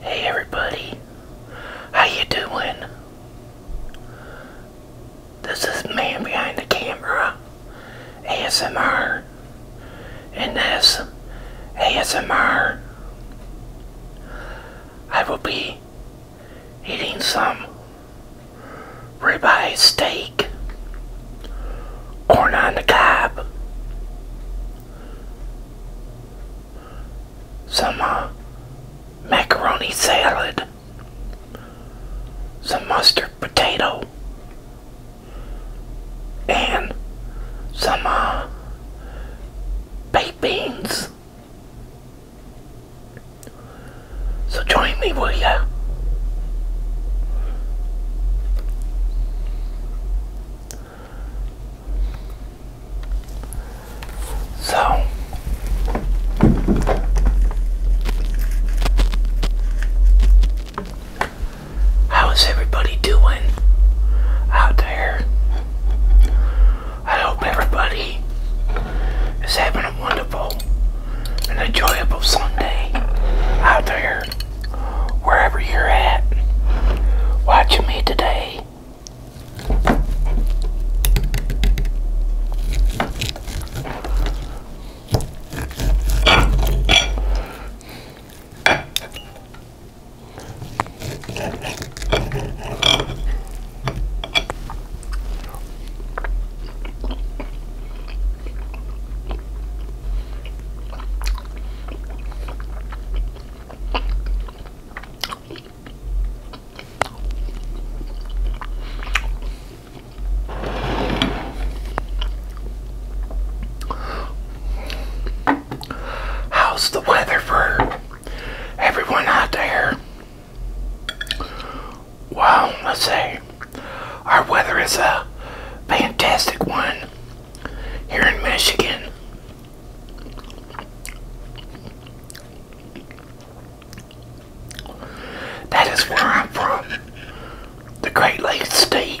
Hey everybody, how you doing? This is Man Behind the Camera, ASMR, and this ASMR, I will be eating some ribeye steak Corn on the cob. Some uh, macaroni salad. Some mustard potato. And some uh, baked beans. So join me, will ya? So how is everybody doing out there? I hope everybody is having a wonderful and enjoyable Sunday out there wherever you're at watching me today. How's the weather for everyone out there? Well, let's see. Our weather is a fantastic one here in Michigan. That is where I'm from, the Great Lakes State.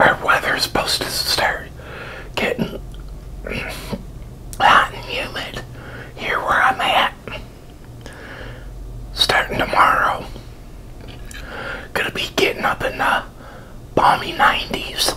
our weather's supposed to start getting hot and humid here where I'm at. Starting tomorrow. Gonna be getting up in the balmy 90s.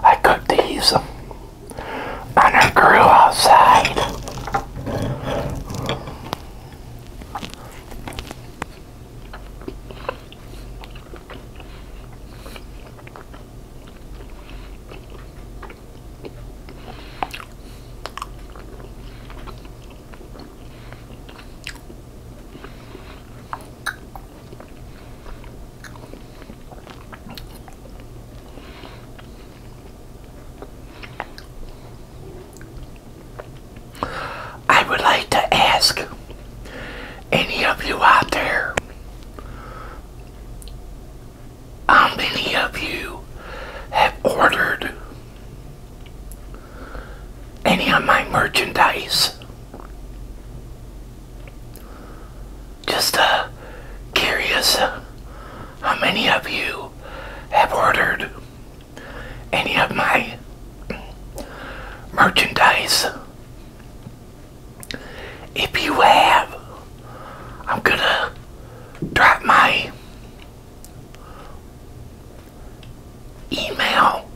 I cooked these on a grill outside. I would like to ask any of you out there, how many of you have ordered any of my merchandise? Just uh, curious how many of you have ordered any of my merchandise. If you have, I'm gonna drop my email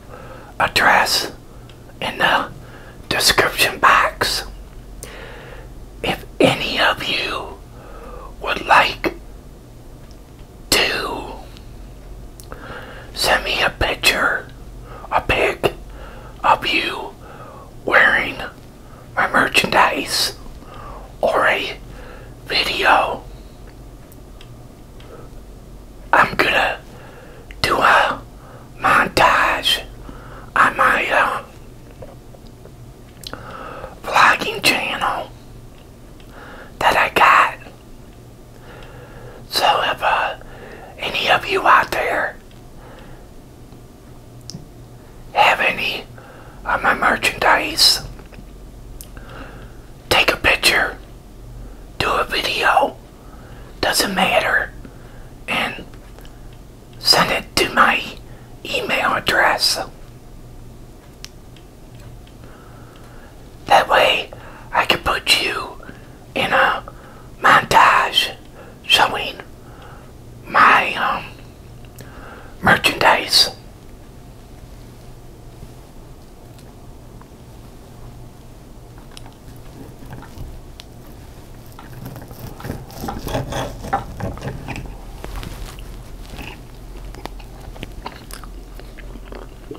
address in the description box. If any of you would like to Send me a picture, a pic of you wearing my merchandise or a video. I'm gonna do a montage on my um, vlogging channel that I got so if uh, any of you out there have any of my merchandise, take a picture, do a video, doesn't matter, and send it to my email address. That way I can put you in a montage showing my um, merchandise.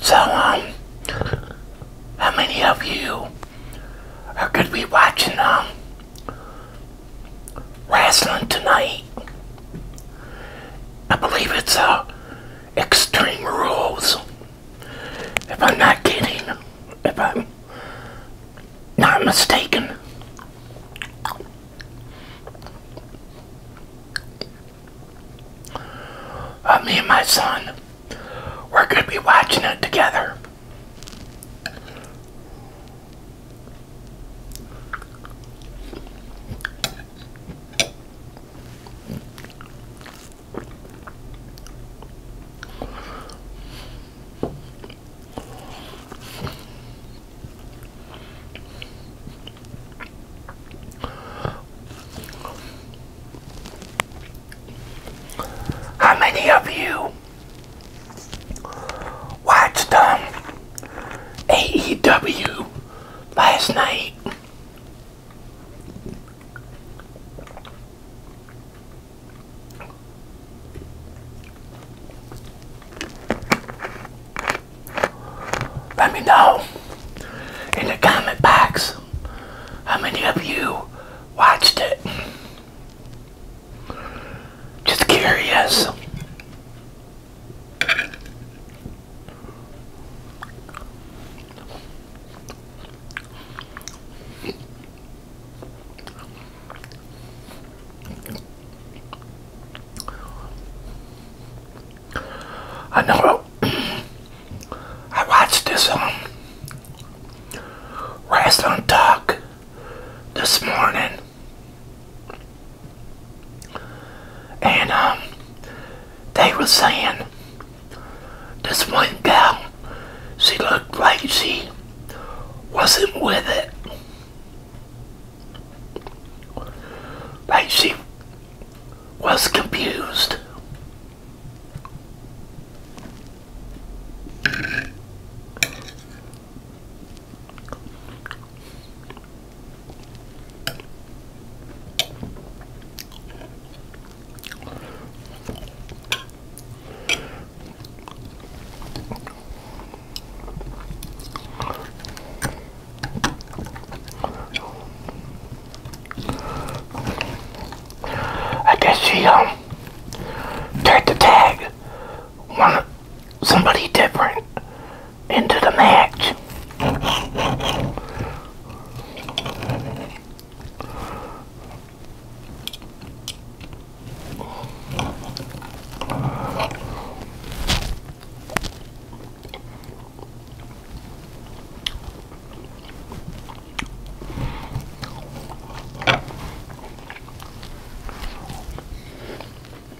So, um, how many of you are going to be watching, um, wrestling tonight? I believe it's, a. Uh, extreme rules. If I'm not kidding, if I'm not mistaken. Uh, me and my son, we're going to be watching it together. How many of you watched the um, AEW last night. Let me know in the comment box how many of you watched it. Just curious. I know I watched this on um on talk this morning and um, they were saying this one gal, she looked like she wasn't with it. Like she was confused. I guess she don't um, tried the tag on somebody different into the match.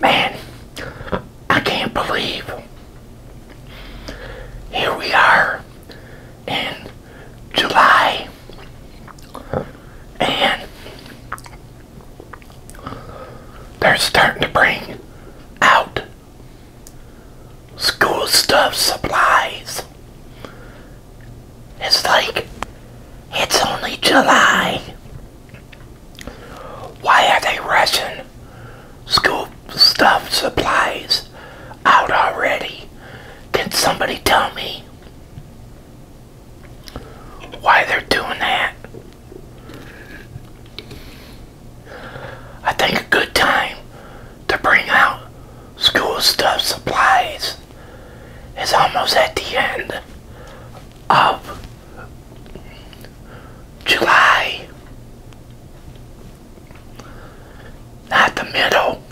Man, I can't believe here we are in July and they're starting to bring out school stuff supplies it's like, it's only July. Why are they rushing school stuff supplies out already? Can somebody tell me why they're doing that? I think a good time to bring out school stuff supplies it's almost at the end of July, not the middle.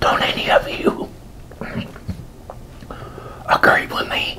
Don't any of you agree with me?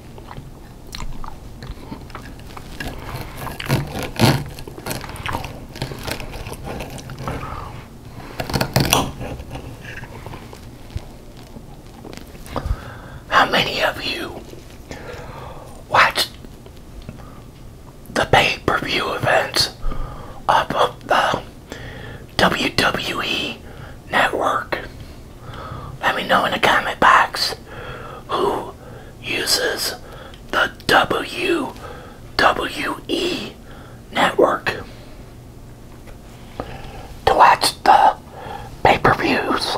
How many of you watched the pay per view events of the um, WWE network. Let me know in the comment box who uses the WWE network to watch the pay-per-views.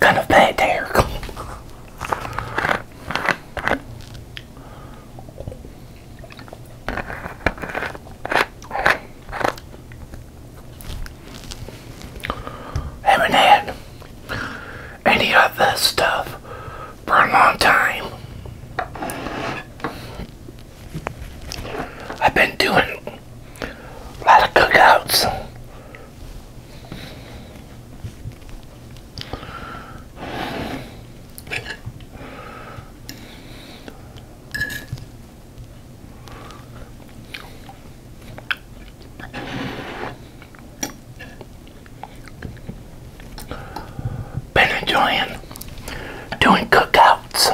Kind of bad there have had any of stuff for a long time. I've been doing a lot of cookouts been enjoying doing cookouts.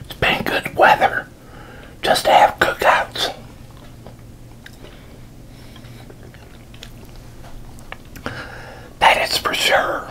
It's been good weather just to have cookouts. That is for sure.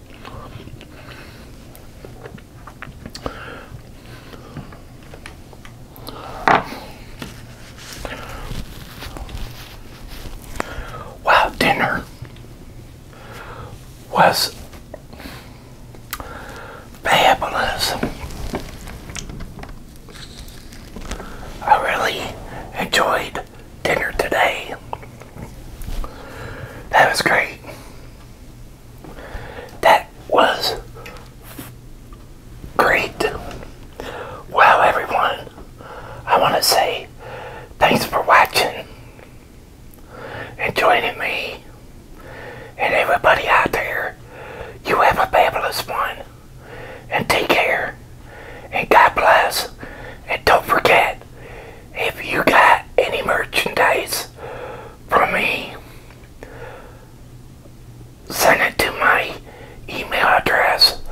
Wow, dinner was fabulous. I really enjoyed dinner today. That was great. That was great. Well, everyone, I want to say thanks for watching and joining me and everybody out there. You have a fabulous one. And take care. And God bless. And don't forget, if you got any merchandise from me, send it to my email address.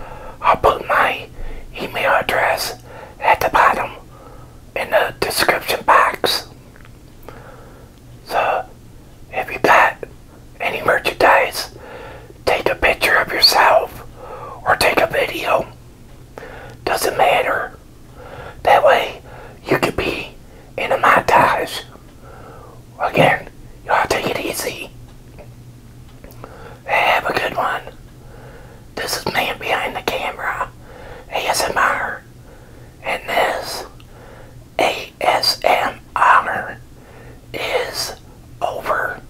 I'll put my email address at the bottom in the description box. So, if you got any merchandise, take a picture of yourself or take a video doesn't matter. That way, you could be in a montage. Again, y'all take it easy. Have a good one. This is Man Behind the Camera, ASMR, and this ASMR is over.